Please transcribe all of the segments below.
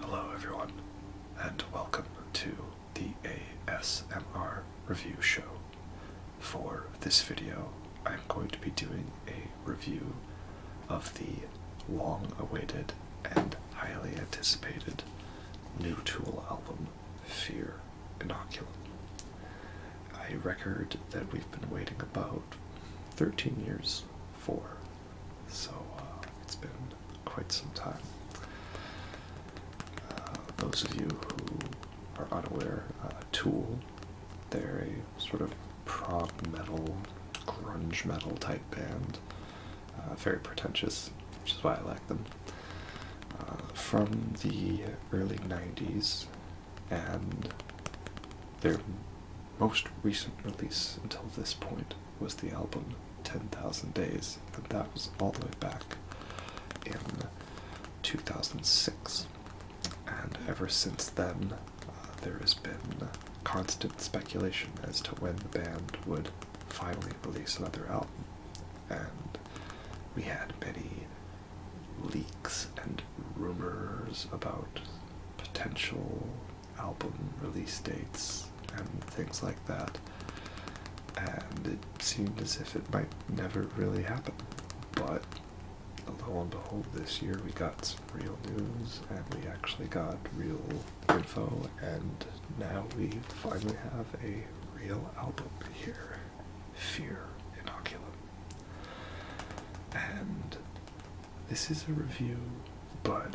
Hello, everyone, and welcome to the ASMR review show. For this video, I'm going to be doing a review of the long awaited and highly anticipated New Tool album fear inoculum, I record that we've been waiting about 13 years for. So uh, it's been quite some time. Uh, those of you who are unaware, uh, Tool, they're a sort of prog metal, grunge metal type band. Uh, very pretentious, which is why I like them. Uh, from the early 90s and their most recent release until this point was the album 10,000 Days, and that was all the way back in 2006. And ever since then, uh, there has been constant speculation as to when the band would finally release another album. And we had many leaks and rumors about potential album release dates and things like that. And it seemed as if it might never really happen. But lo and behold, this year we got some real news and we actually got real info, and now we finally have a real album here. Fear Inoculum. And this is a review, but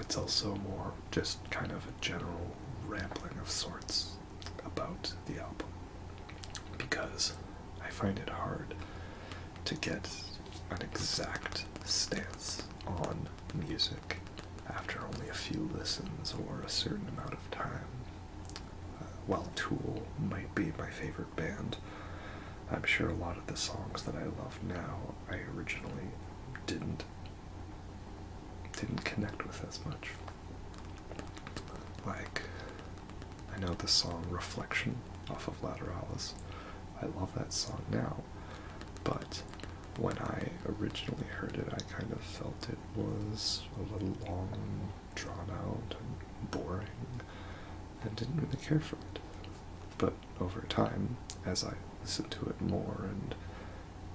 it's also more just kind of a general rambling of sorts about the album because I find it hard to get an exact stance on music after only a few listens or a certain amount of time uh, While Tool might be my favorite band, I'm sure a lot of the songs that I love now I originally didn't didn't connect with as much. Like I know the song Reflection off of Lateralis. I love that song now, but when I originally heard it, I kind of felt it was a little long, drawn out, and boring, and didn't really care for it. But over time, as I listened to it more and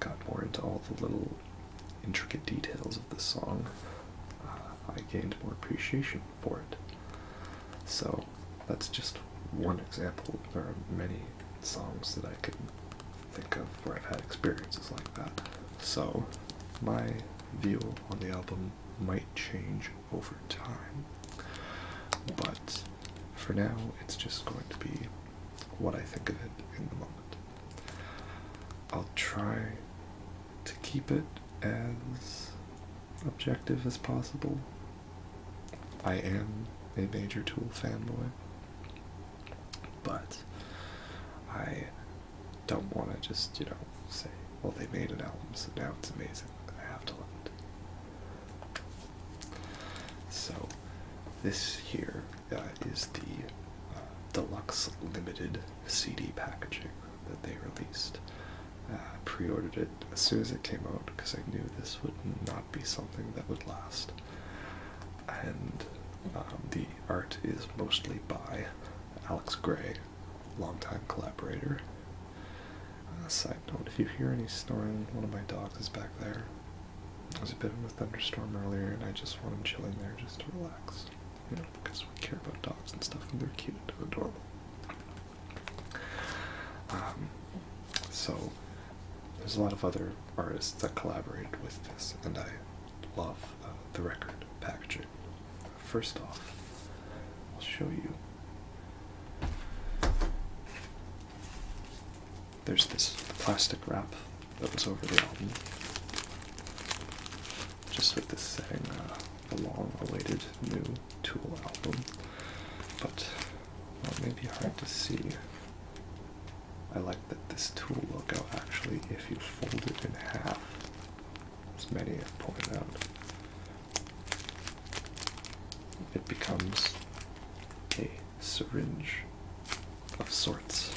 got more into all the little intricate details of this song, uh, I gained more appreciation for it. So that's just one example. There are many songs that I can think of where I've had experiences like that. So, my view on the album might change over time, but for now, it's just going to be what I think of it in the moment. I'll try to keep it as objective as possible. I am a major Tool fanboy, but I don't want to just, you know, say, well, they made an album, so now it's amazing. I have to love it. So, this here uh, is the uh, deluxe limited CD packaging that they released. Uh, pre-ordered it as soon as it came out because I knew this would not be something that would last. And um, the the art is mostly by Alex Gray, longtime collaborator. Uh, side note, if you hear any snoring, one of my dogs is back there. There was a bit of a thunderstorm earlier, and I just want him chilling there just to relax. You know, because we care about dogs and stuff, and they're cute and adorable. Um, so, there's a lot of other artists that collaborated with this, and I love the record packaging. First off, I'll show you. There's this plastic wrap that was over the album, just with this saying, uh, a long awaited new Tool album, but it may be hard to see I like that this tool will go actually, if you fold it in half, as many have pointed out, it becomes a syringe of sorts.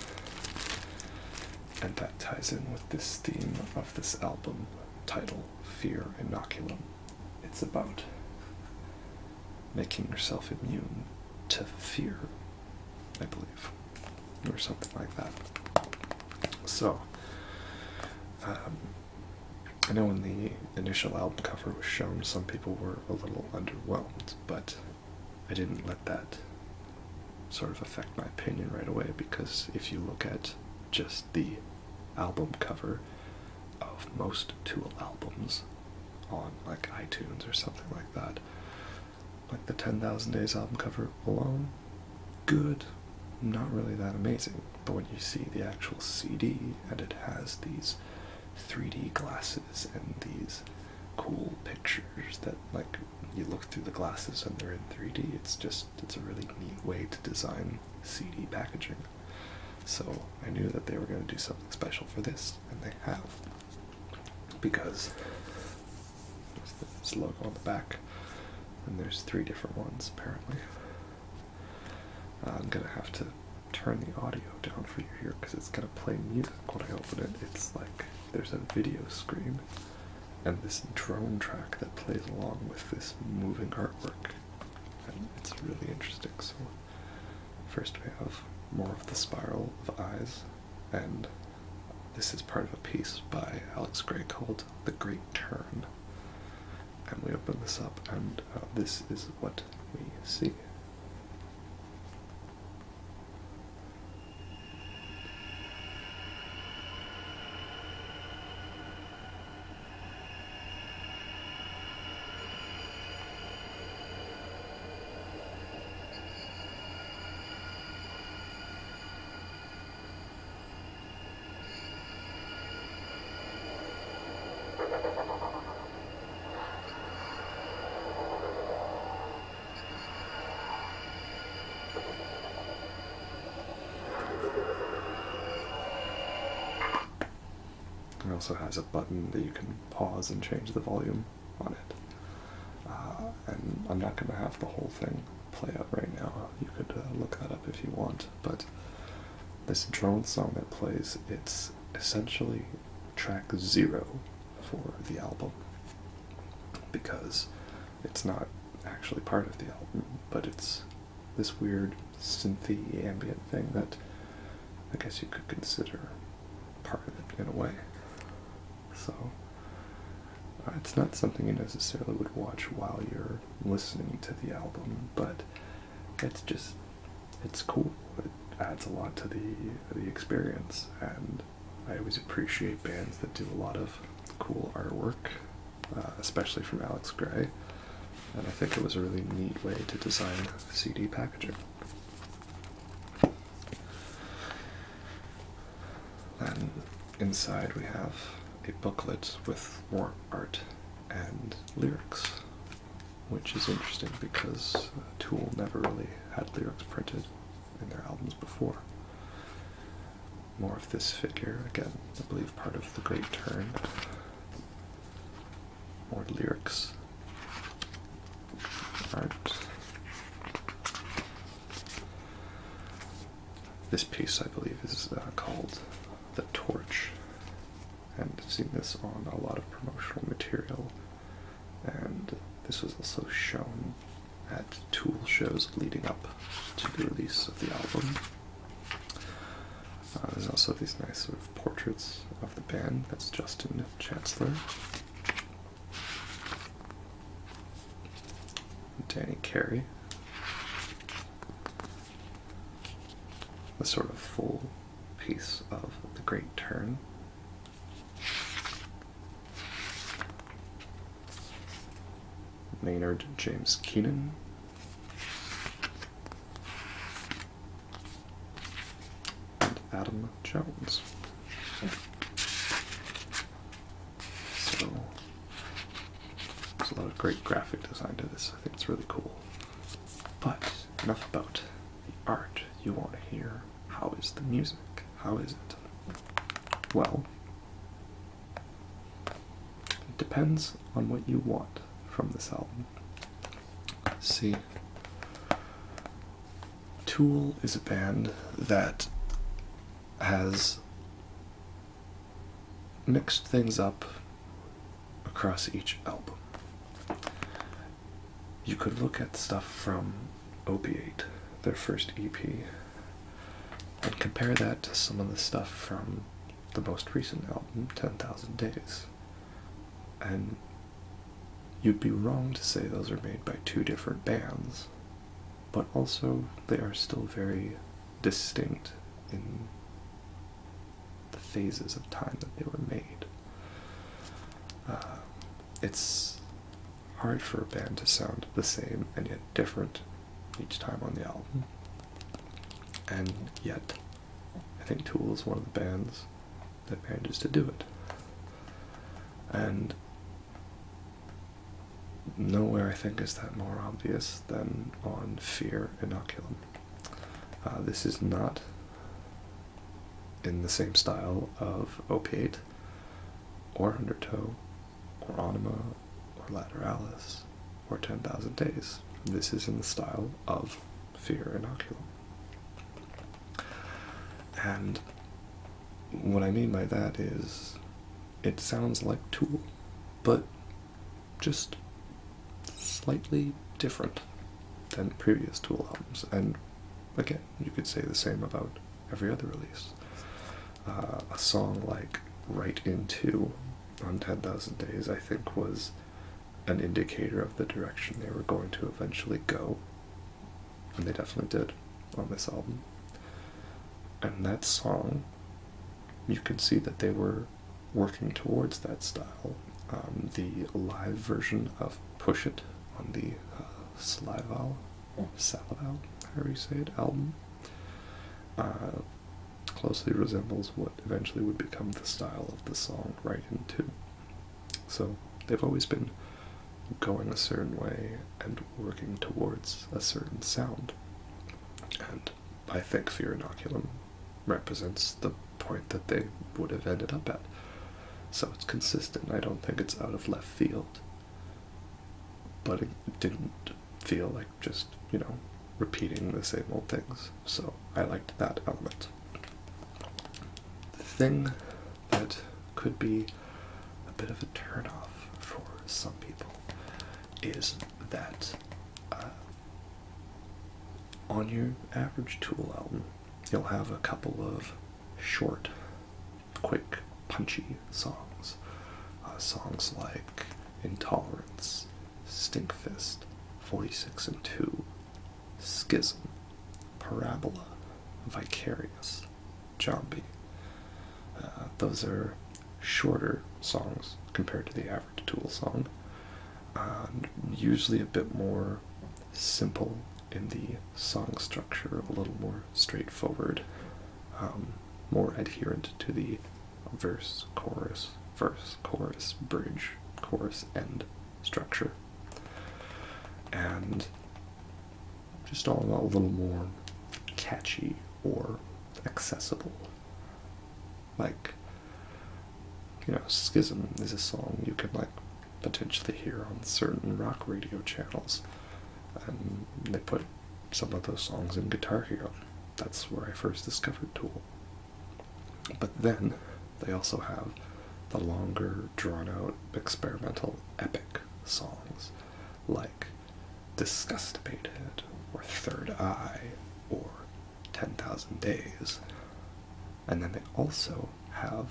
And that ties in with this theme of this album title, Fear Inoculum. It's about making yourself immune to fear I believe, or something like that. So, um, I know when the initial album cover was shown, some people were a little underwhelmed, but I didn't let that sort of affect my opinion right away because if you look at just the album cover of most Tool albums on like iTunes or something like that, like the 10,000 Days album cover alone, good, not really that amazing. But when you see the actual CD and it has these 3D glasses and these cool pictures that, like, you look through the glasses and they're in 3D, it's just, it's a really neat way to design CD packaging. So I knew that they were going to do something special for this, and they have. Because there's this logo on the back, and there's three different ones apparently. Uh, I'm gonna have to turn the audio down for you here because it's gonna play music when I open it. It's like there's a video screen and this drone track that plays along with this moving artwork. And it's really interesting. So, first we have more of the spiral of eyes and this is part of a piece by Alex Gray called The Great Turn. And we open this up, and uh, this is what we see. It also has a button that you can pause and change the volume on it. Uh, and I'm not going to have the whole thing play out right now. You could uh, look that up if you want. But this drone song that plays, it's essentially track zero for the album because it's not actually part of the album, but it's this weird synthie ambient thing that I guess you could consider part of it in a way. So uh, it's not something you necessarily would watch while you're listening to the album, but it's just it's cool. It adds a lot to the the experience, and I always appreciate bands that do a lot of cool artwork, uh, especially from Alex Gray. And I think it was a really neat way to design CD packaging. Then inside we have a booklet with more art and lyrics, which is interesting because Tool never really had lyrics printed in their albums before. More of this figure, again, I believe part of the Great Turn. More lyrics, art, this piece, I believe, is uh, called the torch, and I've seen this on a lot of promotional material. And this was also shown at tool shows leading up to the release of the album. Uh, there's also these nice portraits of the band. That's Justin Chancellor. Danny Carey. The sort of full piece of the Great Turn. Maynard James Keenan. And Adam Jones. So there's a lot of great graphic design to this. I think it's really cool. But enough about the art. You want to hear how is the music? How is it? Well, it depends on what you want from this album. See, Tool is a band that has mixed things up across each album. You could look at stuff from Opiate, their first EP, and compare that to some of the stuff from the most recent album, 10,000 Days. And you'd be wrong to say those are made by two different bands but also they are still very distinct in the phases of time that they were made. Uh, it's hard for a band to sound the same and yet different each time on the album. And yet, I think Tool is one of the bands that manages to do it. And Nowhere, I think, is that more obvious than on Fear Inoculum. Uh, this is not in the same style of Opiate, or Undertow, or Anima, or Lateralis, or 10,000 Days. This is in the style of Fear Inoculum. And what I mean by that is it sounds like Tool, but just slightly different than previous Tool albums. And again, you could say the same about every other release. Uh, a song like Right Into on 10,000 Days, I think, was an indicator of the direction they were going to eventually go. And they definitely did on this album. And that song, you can see that they were working towards that style. Um, the live version of Push It on the uh, Salival, or Salival, however you say it, album, uh, closely resembles what eventually would become the style of the song right into. So they've always been going a certain way and working towards a certain sound. And I think fear inoculum represents the point that they would have ended up at. So it's consistent. I don't think it's out of left field. But it didn't feel like just, you know, repeating the same old things. So I liked that element. The thing that could be a bit of a turnoff for some people is that uh, on your average Tool album, you'll have a couple of short, quick, punchy songs. Uh, songs like Intolerance, Stinkfist, 46 and 2, Schism, Parabola, Vicarious, Jambi. Uh, those are shorter songs compared to the average Tool song, uh, usually a bit more simple in the song structure, a little more straightforward, um, more adherent to the verse, chorus, verse, chorus, bridge, chorus, end structure. And just all a little more catchy or accessible. Like, you know, Schism is a song you could like potentially hear on certain rock radio channels. And they put some of those songs in Guitar Hero. That's where I first discovered Tool. But then they also have the longer, drawn out, experimental, epic songs like Disgustipated, or Third Eye, or 10,000 Days. And then they also have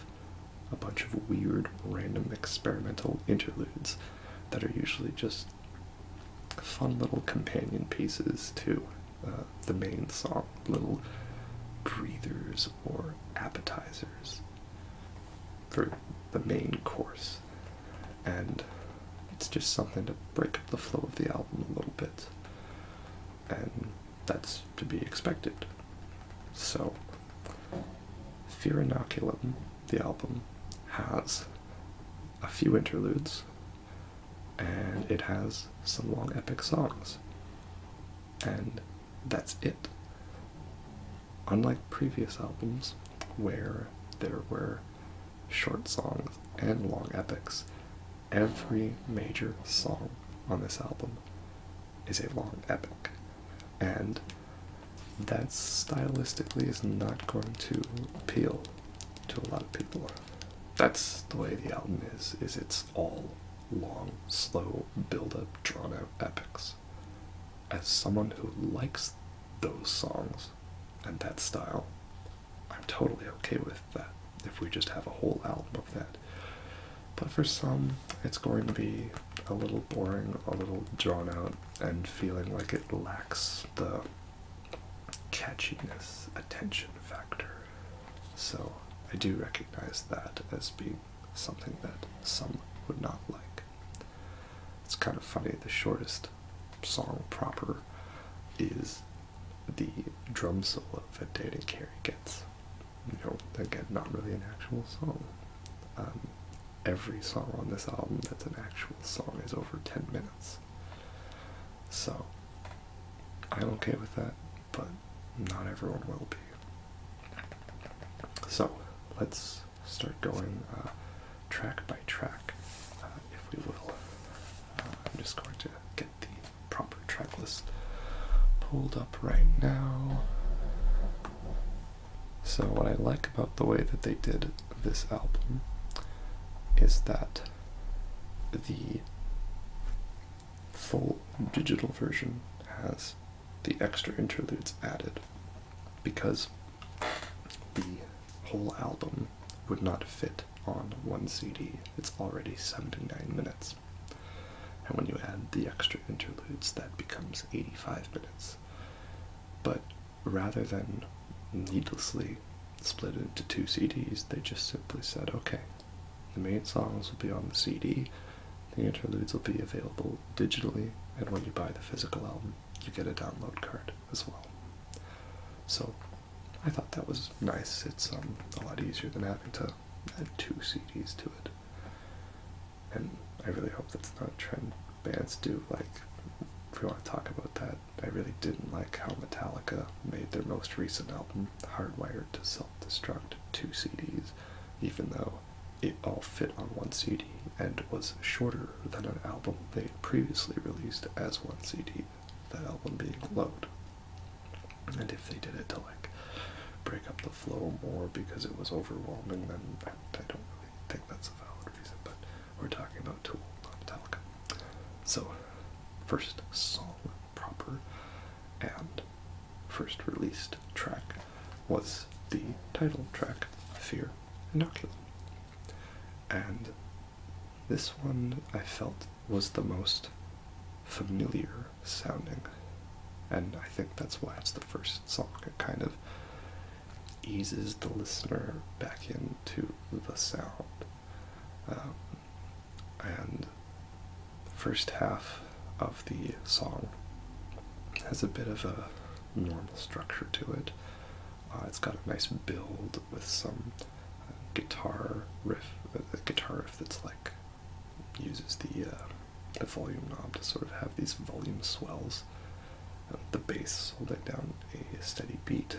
a bunch of weird, random experimental interludes that are usually just fun little companion pieces to uh, the main song, little breathers or appetizers for the main course and it's just something to break up the flow of the album a little bit, and that's to be expected. So, Fear Inoculum, the album, has a few interludes and it has some long epic songs, and that's it unlike previous albums where there were short songs and long epics, every major song on this album is a long epic. And that stylistically is not going to appeal to a lot of people. That's the way the album is, is it's all long, slow, build-up, drawn-out epics. As someone who likes those songs, and that style. I'm totally okay with that if we just have a whole album of that. But for some, it's going to be a little boring, a little drawn out, and feeling like it lacks the catchiness, attention factor. So I do recognize that as being something that some would not like. It's kind of funny. The shortest song proper is the drum solo that Dane and Carrie gets. You know, again, not really an actual song. Um, every song on this album that's an actual song is over 10 minutes. So, I'm okay with that, but not everyone will be. So, let's start going uh, track by track, uh, if we will. Uh, I'm just going to get the proper track list pulled up right now. So, what I like about the way that they did this album is that the full digital version has the extra interludes added because the whole album would not fit on one CD. It's already 79 minutes. And when you add the extra interludes, that becomes 85 minutes. But rather than needlessly split it into two CDs, they just simply said, okay, the main songs will be on the CD, the interludes will be available digitally, and when you buy the physical album, you get a download card as well. So I thought that was nice. It's um, a lot easier than having to add two CDs to it. And I really hope that's not a trend bands do. Like, if we want to talk about that, I really didn't like how Metallica made their most recent album, Hardwired to Self Destruct, two CDs, even though it all fit on one CD and was shorter than an album they had previously released as one CD, that album being Load. And if they did it to like break up the flow more because it was overwhelming, then I don't really think that's a valid reason, but we're talking about Tool, not Metallica. So, first song proper and first released track was the title track, Fear Inoculum. And this one I felt was the most familiar sounding. And I think that's why it's the first song. It kind of eases the listener back into the sound. Um, and the first half of the song has a bit of a normal structure to it. Uh, it's got a nice build with some uh, guitar riff, a uh, guitar riff that's like uses the the volume knob to sort of have these volume swells. Uh, the bass holding down a steady beat,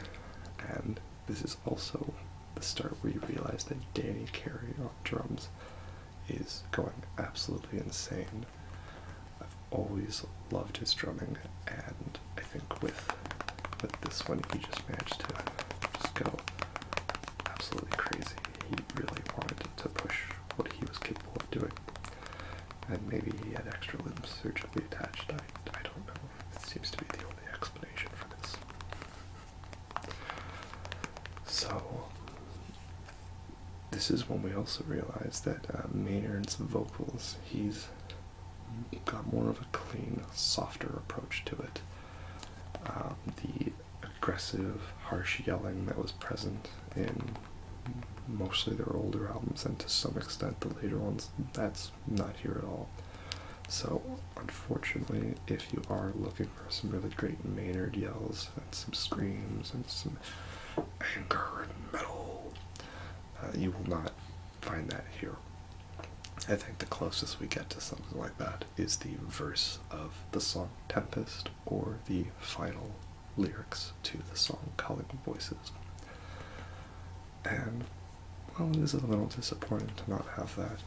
and this is also the start where you realize that Danny Carey on drums is going absolutely insane. I've always loved his drumming, and I think with with this one he just managed to just go absolutely crazy. He really wanted to push what he was capable of doing, and maybe he had extra limbs surgically attached. I I don't know. It seems to be the only explanation for this. So. This is when we also realize that uh, Maynard's vocals, he's got more of a clean, softer approach to it. Um, the aggressive, harsh yelling that was present in mostly their older albums, and to some extent the later ones, that's not here at all. So, unfortunately, if you are looking for some really great Maynard yells and some screams and some anger and metal, uh, you will not find that here. I think the closest we get to something like that is the verse of the song Tempest or the final lyrics to the song Calling Voices. And, well, it is a little disappointing to not have that.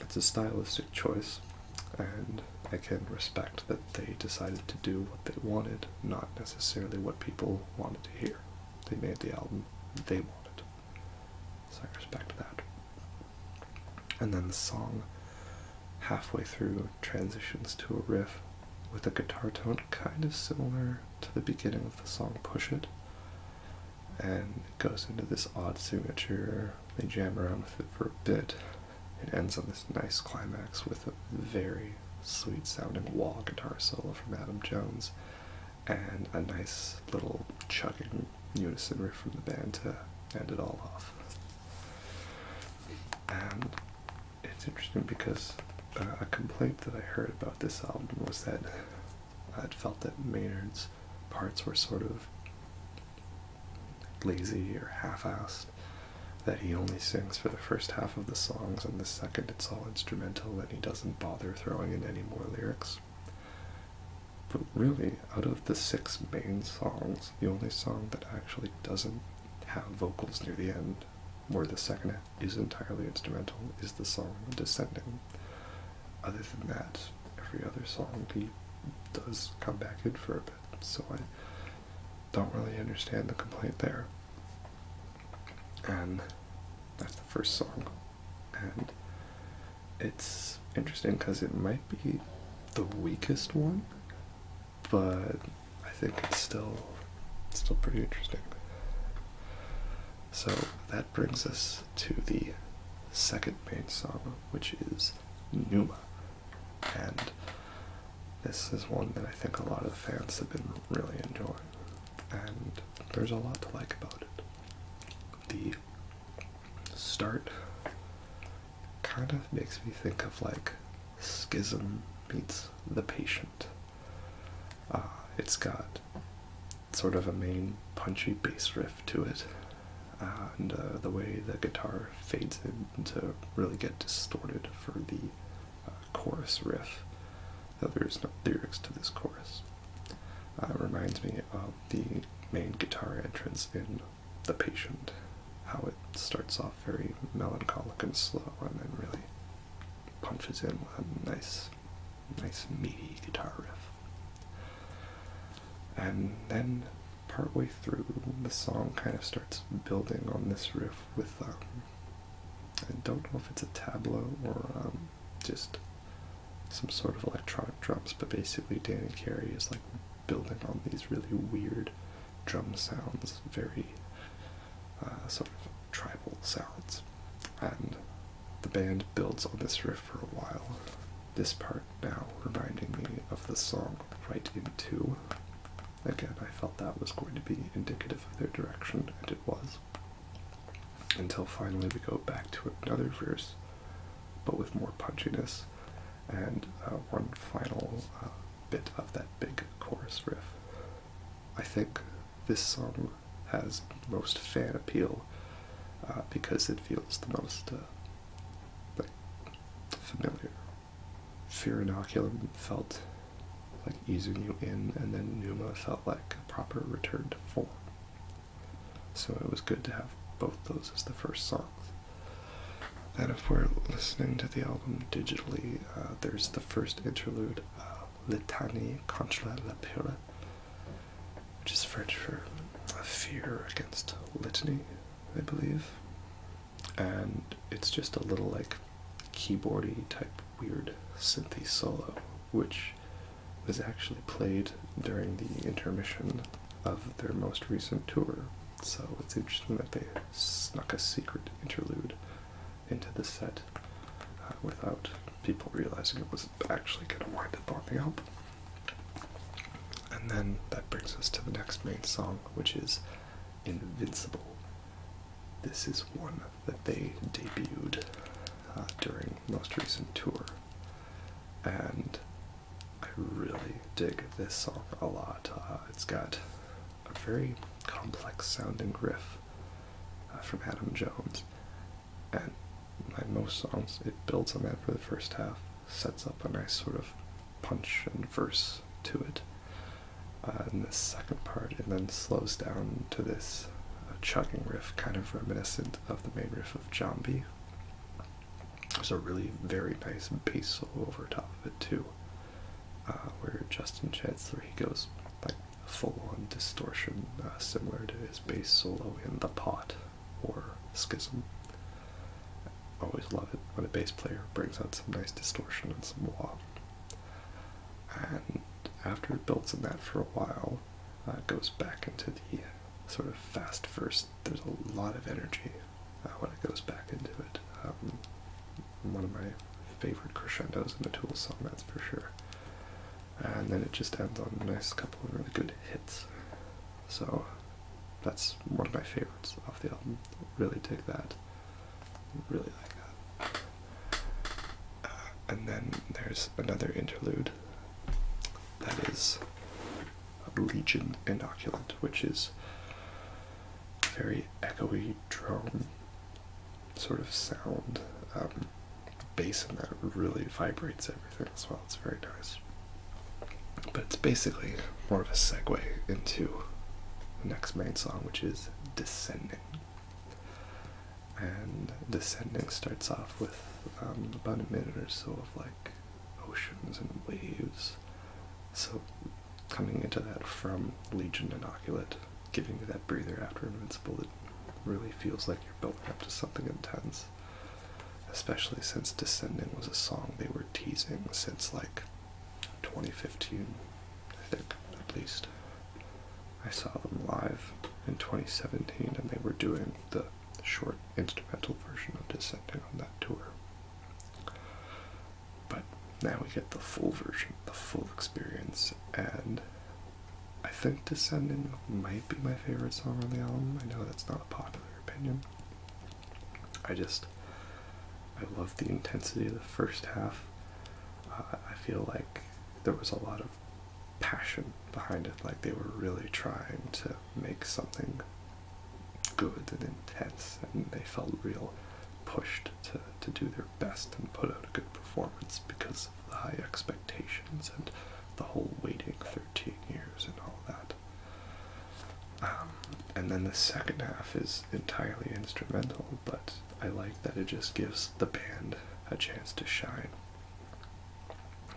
It's a stylistic choice, and I can respect that they decided to do what they wanted, not necessarily what people wanted to hear. They made the album they wanted. So I respect that. And then the song, halfway through, transitions to a riff with a guitar tone kind of similar to the beginning of the song Push It. And it goes into this odd signature. They jam around with it for a bit. It ends on this nice climax with a very sweet sounding wah guitar solo from Adam Jones and a nice little chugging unison riff from the band to end it all off. And it's interesting because uh, a complaint that I heard about this album was that I'd felt that Maynard's parts were sort of lazy or half-assed, that he only sings for the first half of the songs, and the second it's all instrumental, and he doesn't bother throwing in any more lyrics. But really, out of the six main songs, the only song that actually doesn't have vocals near the end, where the second is entirely instrumental, is the song Descending. Other than that, every other song he does come back in for a bit, so I don't really understand the complaint there and that's the first song and it's interesting because it might be the weakest one but i think it's still still pretty interesting so that brings us to the second main song which is numa and this is one that i think a lot of the fans have been really enjoying and there's a lot to like about it. The start kind of makes me think of like Schism meets The Patient. Uh, it's got sort of a main punchy bass riff to it, and uh, the way the guitar fades in to really get distorted for the uh, chorus riff there is no lyrics to this chorus. Uh, it reminds me of the main guitar entrance in The Patient, how it starts off very melancholic and slow and then really punches in with a nice, nice meaty guitar riff. And then partway through, the song kind of starts building on this riff with, um, I don't know if it's a tableau or um, just some sort of electronic drums, but basically Dan Carey is like building on these really weird drum sounds, very uh, sort of tribal sounds, and the band builds on this riff for a while. This part now reminding me of the song Right Into. Again, I felt that was going to be indicative of their direction, and it was until finally we go back to another verse, but with more punchiness and uh, one final uh, bit of that big chorus riff. I think this song has most fan appeal uh, because it feels the most familiar. Fear inoculum felt like easing you in, and then Numa felt like a proper return to form. So it was good to have both those as the first songs. And if we're listening to the album digitally, uh, there's the first interlude, uh, Litanie contre la peur," which is French for fear against litany, I believe. And it's just a little like keyboardy type weird synthy solo, which was actually played during the intermission of their most recent tour. So it's interesting that they snuck a secret interlude into the set uh, without people realizing it was actually going to wind up on up. And then that brings us to the next main song, which is Invincible. This is one that they debuted uh, during most recent tour, and I really dig this song a lot. Uh, it's got a very complex sounding riff uh, from Adam Jones, and like most songs, it builds on that for the first half, sets up a nice sort of punch and verse to it. in the second part, and then slows down to this a chugging riff, kind of reminiscent of the main riff of Jambi. There's a really very nice bass solo over top of it too, uh, where Justin Chancellor he goes like full-on distortion, uh, similar to his bass solo in The Pot or Schism. I always love it when a bass player brings out some nice distortion and some wah. And after it builds on that for a while, uh, goes back into the uh, sort of fast first. There's a lot of energy uh, when it goes back into it. Um, one of my favorite crescendos in the Tool song, that's for sure. And then it just ends on a nice couple of really good hits. So that's one of my favorites off the album. Really dig that. Really like that. Uh, and then there's another interlude that is Legion Inoculant, which is a very echoey drone sort of sound. Um, bass and that really vibrates everything as well. It's very nice. But it's basically more of a segue into the next main song, which is Descending and descending starts off with um, about a minute or so of like oceans and waves. So coming into that from Legion Inoculate, giving you that breather after Invincible, it really feels like you're building up to something intense. Especially since Descending was a song they were teasing since like 2015, I think, at least. I saw them live in 2017, and they were doing the short instrumental version of Descending on that tour. But now we get the full version, the full experience, and I think Descending might be my favorite song on the album. I know that's not a popular opinion. I just, I love the intensity of the first half. Uh, I feel like there was a lot of passion behind it. Like they were really trying to make something good and intense, and they felt real pushed to, to do their best and put out a good performance because of the high expectations and the whole waiting 13 years and all that. Um, and then the second half is entirely instrumental, but I like that it just gives the band a chance to shine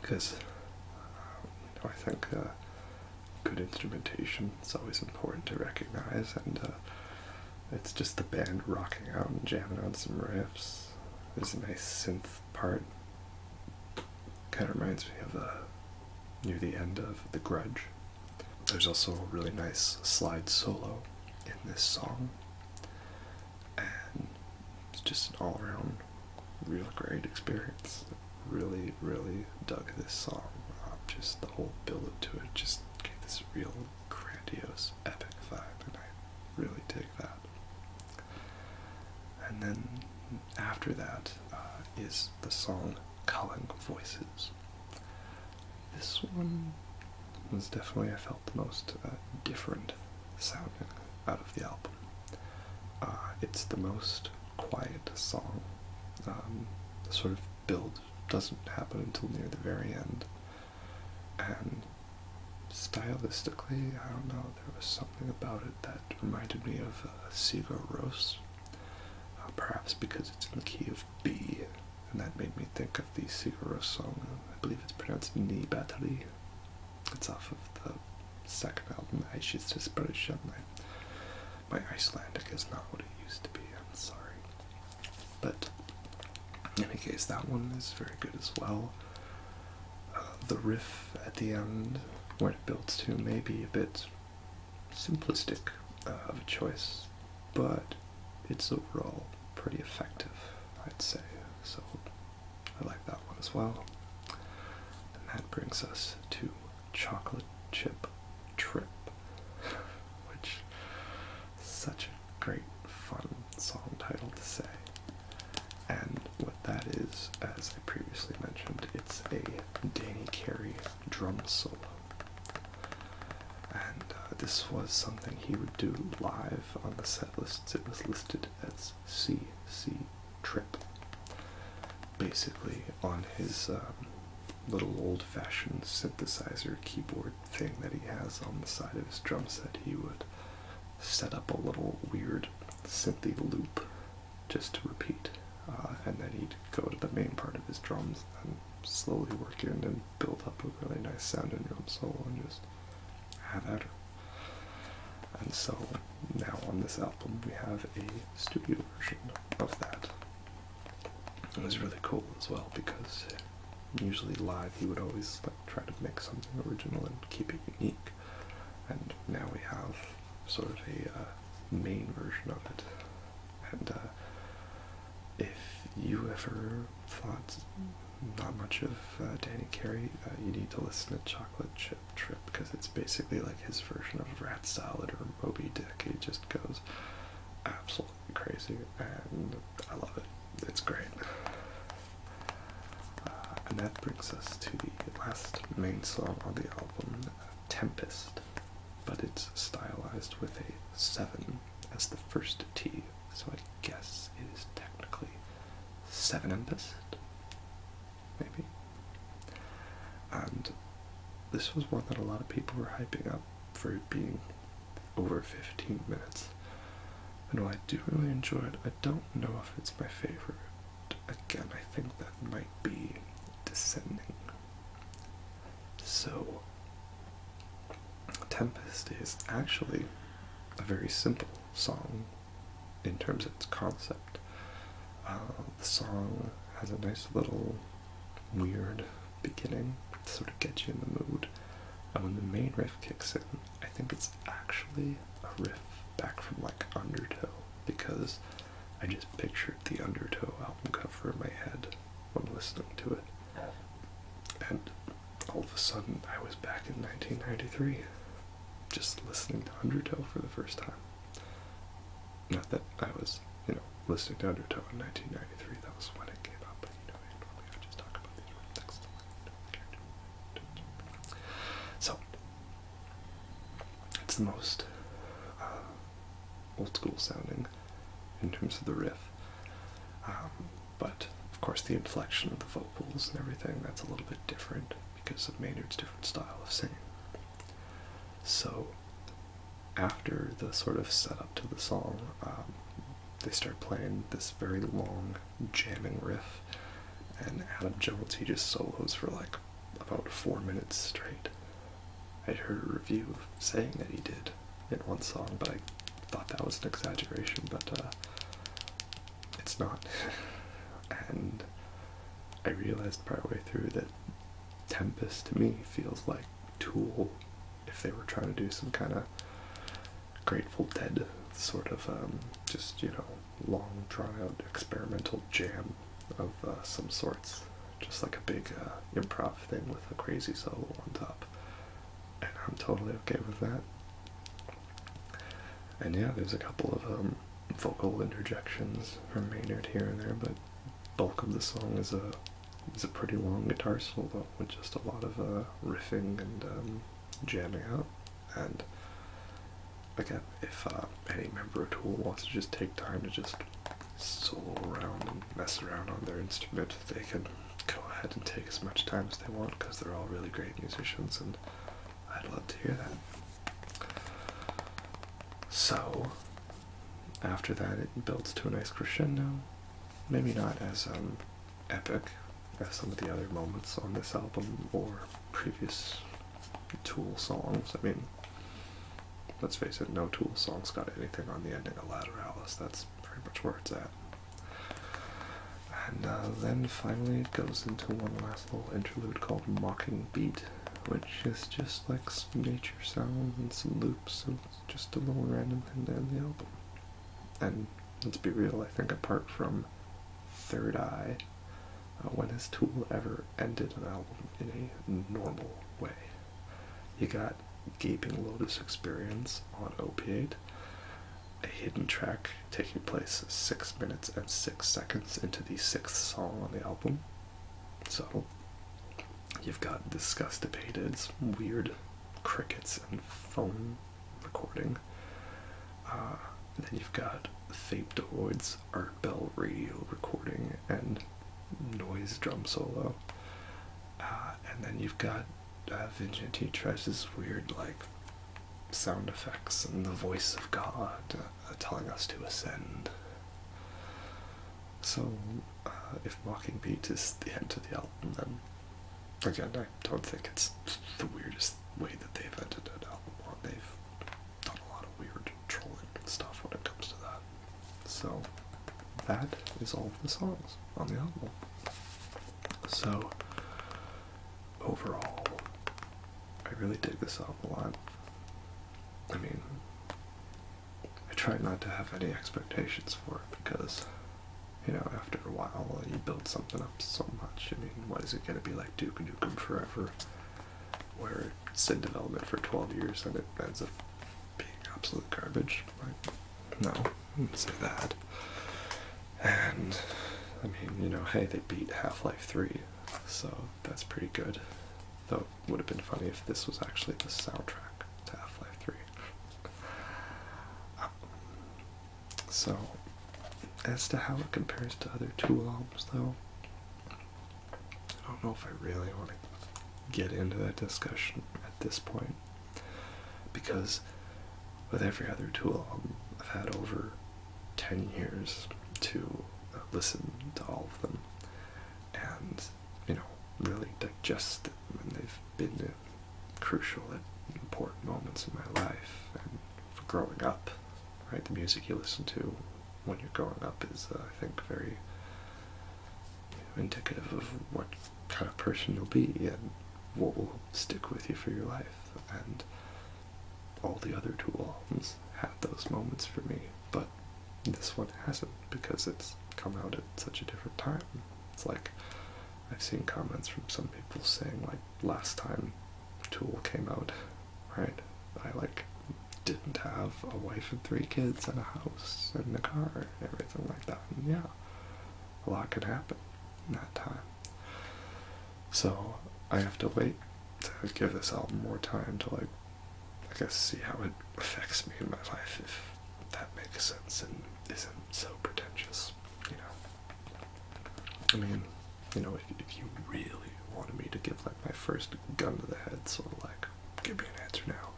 because uh, I think uh, good instrumentation is always important to recognize, and uh, it's just the band rocking out and jamming on some riffs. There's a nice synth part. Kind of reminds me of near the end of The Grudge. There's also a really nice slide solo in this song and it's just an all around real great experience. Really, really dug this song. just the whole build up to it just gave this real grandiose, epic vibe, and I really dig that. And then after that uh, is the song "Calling Voices. This one was definitely, a. felt the most uh, different sound out of the album. Uh, it's the most quiet song. Um, the sort of build doesn't happen until near the very end. And stylistically, I don't know, there was something about it that reminded me of uh, ross uh, perhaps because it's in the key of B, and that made me think of the Sigur ross song. I believe it's pronounced Ni Battery. It's off of the second album, "I Should Desperation. My, my Icelandic is not what it used to be, I'm sorry. But in any case, that one is very good as well. Uh, the riff at the end, where it builds to, may be a bit simplistic uh, of a choice, but it's overall pretty effective, I'd say. So I like that one as well. And that brings us to chocolate chip trip, which such a great fun song title to say. And what that is, as I previously mentioned, it's a Danny Carey drum solo. And uh, this was something he would do live on the setlists. It was listed that's as C.C. Trip. Basically, on his um, little old fashioned synthesizer keyboard thing that he has on the side of his drum set, he would set up a little weird synth loop just to repeat. Uh, and then he'd go to the main part of his drums and slowly work in and build up a really nice sounding drum solo and just have that. And so now on this album we have a studio version of that. It was really cool as well because usually live he would always like try to make something original and keep it unique. And now we have sort of a uh, main version of it. And uh, if you ever thought not much of uh, Danny Carey. Uh, you need to listen to Chocolate Chip Trip because it's basically like his version of Rat Salad or Moby Dick. He just goes absolutely crazy, and I love it. It's great. Uh, and that brings us to the last main song on the album, Tempest, but it's stylized with a 7 as the first T, so I guess it is technically seven implicit, maybe. And this was one that a lot of people were hyping up for being over 15 minutes. And while I do really enjoy it, I don't know if it's my favorite. Again, I think that might be descending. So, Tempest is actually a very simple song in terms of its concept. Uh, the song has a nice little weird beginning to sort of get you in the mood. And when the main riff kicks in, I think it's actually a riff back from like Undertow because I just pictured the Undertow album cover in my head when listening to it. And all of a sudden, I was back in 1993 just listening to Undertow for the first time. Not that I was, you know, listening to Undertow in 1993, that was when it came out, but you know, So, it's the most uh, old school sounding in terms of the riff. Um, but of course, the inflection of the vocals and everything that's a little bit different because of Maynard's different style of singing. So, after the sort of setup to the song, um, they start playing this very long jamming riff, and Adam Jones he just solos for like about four minutes straight. I would heard a review saying that he did in one song, but I thought that was an exaggeration. But uh, it's not. and I realized partway through that Tempest to me feels like Tool if they were trying to do some kind of Grateful Dead sort of um, just, you know, long drawn out experimental jam of uh, some sorts. Just like a big uh, improv thing with a crazy solo on top. And I'm totally okay with that. And yeah, there's a couple of um, vocal interjections from Maynard here and there, but bulk of the song is a is a pretty long guitar solo with just a lot of uh, riffing and um, jamming out. And again, if uh, any member of Tool wants to just take time to just solo around and mess around on their instrument, they can go ahead and take as much time as they want because they're all really great musicians and I'd love to hear that. So, after that, it builds to a nice crescendo. Maybe not as um, epic as some of the other moments on this album or previous Tool songs. I mean, let's face it, no Tool songs got anything on the ending of Lateralis. That's pretty much where it's at. And uh, then finally it goes into one last little interlude called Mocking Beat, which is just like nature sounds and some loops and just a little random thing to end the album. And let's be real, I think apart from Third Eye, uh, when has Tool ever ended an album in a normal way? You got Gaping Lotus Experience on Opiate, a hidden track taking place six minutes and six seconds into the sixth song on the album. So you've got disgust weird crickets and phone recording. Uh, then you've got Thapedroid's Art Bell radio recording and noise drum solo. Uh, and then you've got uh, Vigenti tries weird like sound effects and the voice of God uh, telling us to ascend. So, uh, if Mocking Beat is the end of the album, then again, I don't think it's the weirdest way that they've ended an album They've done a lot of weird trolling and stuff when it comes to that. So, that is all the songs on the album. So, overall, I really dig this album a lot. I mean, I try not to have any expectations for it because, you know, after a while uh, you build something up so much. I mean, what is it going to be like Duke Nukem Forever, where it's in development for 12 years and it ends up being absolute garbage? Like, no, I wouldn't say that. And, I mean, you know, hey, they beat Half Life 3, so that's pretty good. Though would have been funny if this was actually the soundtrack to Half Life 3. Um, so, as to how it compares to other Tool albums, though, I don't know if I really want to get into that discussion at this point because with every other Tool album, I've had over 10 years to listen to all of them and you know really digest them and they've been crucial at important moments in my life and for growing up right the music you listen to when you're growing up is uh, i think very indicative of what kind of person you'll be and what will stick with you for your life and all the other two albums had those moments for me, but this one hasn't because it's come out at such a different time. It's like I've seen comments from some people saying like last time Tool came out, right? I like didn't have a wife and three kids and a house and a car and everything like that. And yeah, a lot could happen in that time. So I have to wait to give this album more time to like I guess see how it affects me in my life if that makes sense and isn't so pretentious, you know. I mean, you know, if if you really wanted me to give like my first gun to the head sort of like give me an answer now.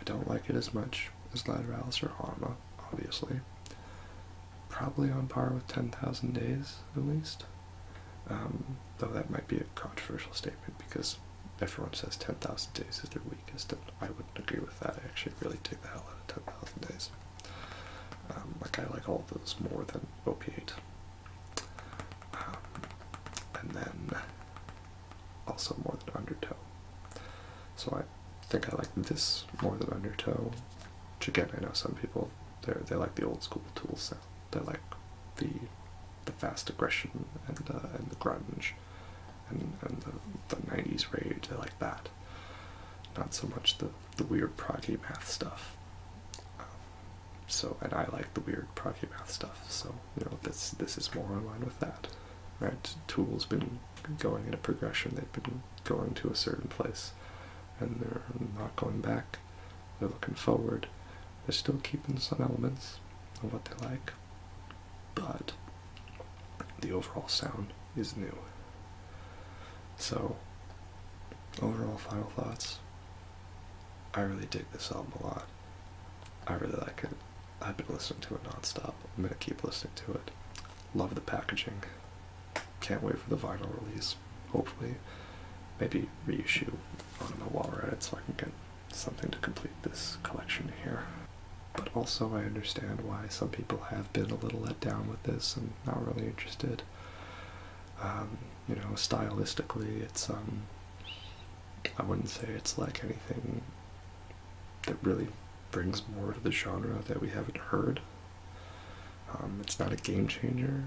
I don't like it as much as Lateralis or Arma, obviously. Probably on par with 10,000 Days, at least. Um, though that might be a controversial statement because everyone says 10,000 days is their weakest, and I wouldn't agree with that. I actually really take the hell out of 10,000 days. Um, like, I like all those more than op um, and then also more than Undertow. So I think I like this more than Undertow. Which again, I know some people they they like the old school tool sound. They like the the fast aggression and uh, and the grunge and and the the nineties rage. They like that. Not so much the the weird proggy math stuff. Um, so and I like the weird proggy math stuff. So you know this this is more in line with that. Right? Tool's been going in a progression. They've been going to a certain place, and they're not going back. They're looking forward. They're still keeping some elements of what they like, but the overall sound is new. So, overall, final thoughts. I really dig this album a lot. I really like it. I've been listening to it nonstop. I'm gonna keep listening to it. Love the packaging. Can't wait for the vinyl release. Hopefully, maybe reissue. on a not know while we're at it, so I can get something to complete this collection here. But also, I understand why some people have been a little let down with this and not really interested. Um, you know, stylistically, it's um, I wouldn't say it's like anything that really brings more to the genre that we haven't heard. Um, it's not a game changer,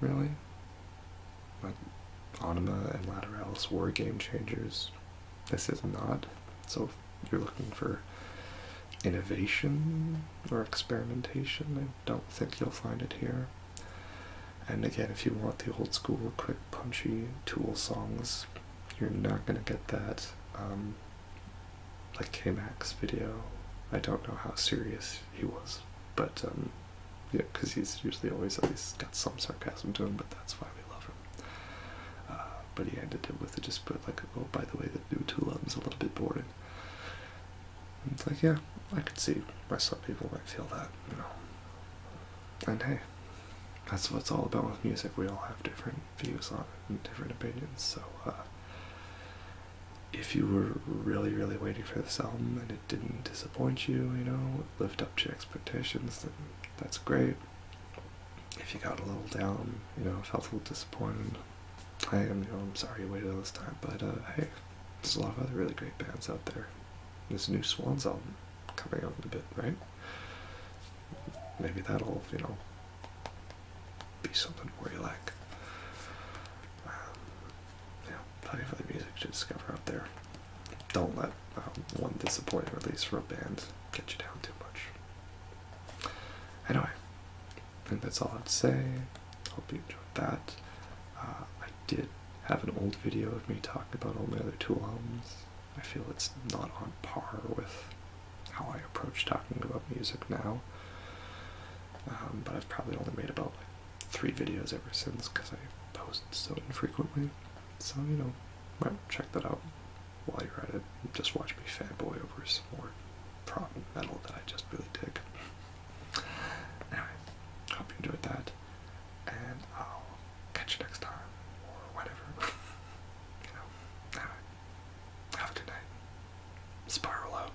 really. But Anima and Lateralis were game changers. This is not. So if you're looking for innovation or experimentation, I don't think you'll find it here. And again, if you want the old school, quick, punchy Tool songs, you're not gonna get that. Um, like K-Max video, I don't know how serious he was. But um, yeah, because he's usually always at least got some sarcasm to him, but that's why we love him. Uh, but he ended it with just put like, oh, by the way, the new two Tulum's a little bit boring. it's like, yeah, I could see why some people might feel that, you know. And hey, that's what it's all about with music. We all have different views on it and different opinions, so uh, if you were really, really waiting for this album and it didn't disappoint you, you know, lived up to expectations, then that's great. If you got a little down, you know, felt a little disappointed, I am, you know, I'm sorry you waited all this time, but uh, hey, there's a lot of other really great bands out there. This new Swans album coming out in a bit, right? Maybe that'll, you know, be something where you like. Um, you plenty of other music to discover out there. Don't let um, one disappointing release for a band get you down too much. Anyway, I think that's all I'd say. Hope you enjoyed that. Uh, I did have an old video of me talking about all my other two albums. I feel it's not on par with how I approach talking about music now. Um, but I've probably only made about three videos ever since because I post so infrequently. So, you know, might check that out while you're at it. Just watch me fanboy over some more prop metal that I just really dig. Anyway, hope you enjoyed that, and I'll catch you next time, or whatever. you know, have a good night. Spiral out.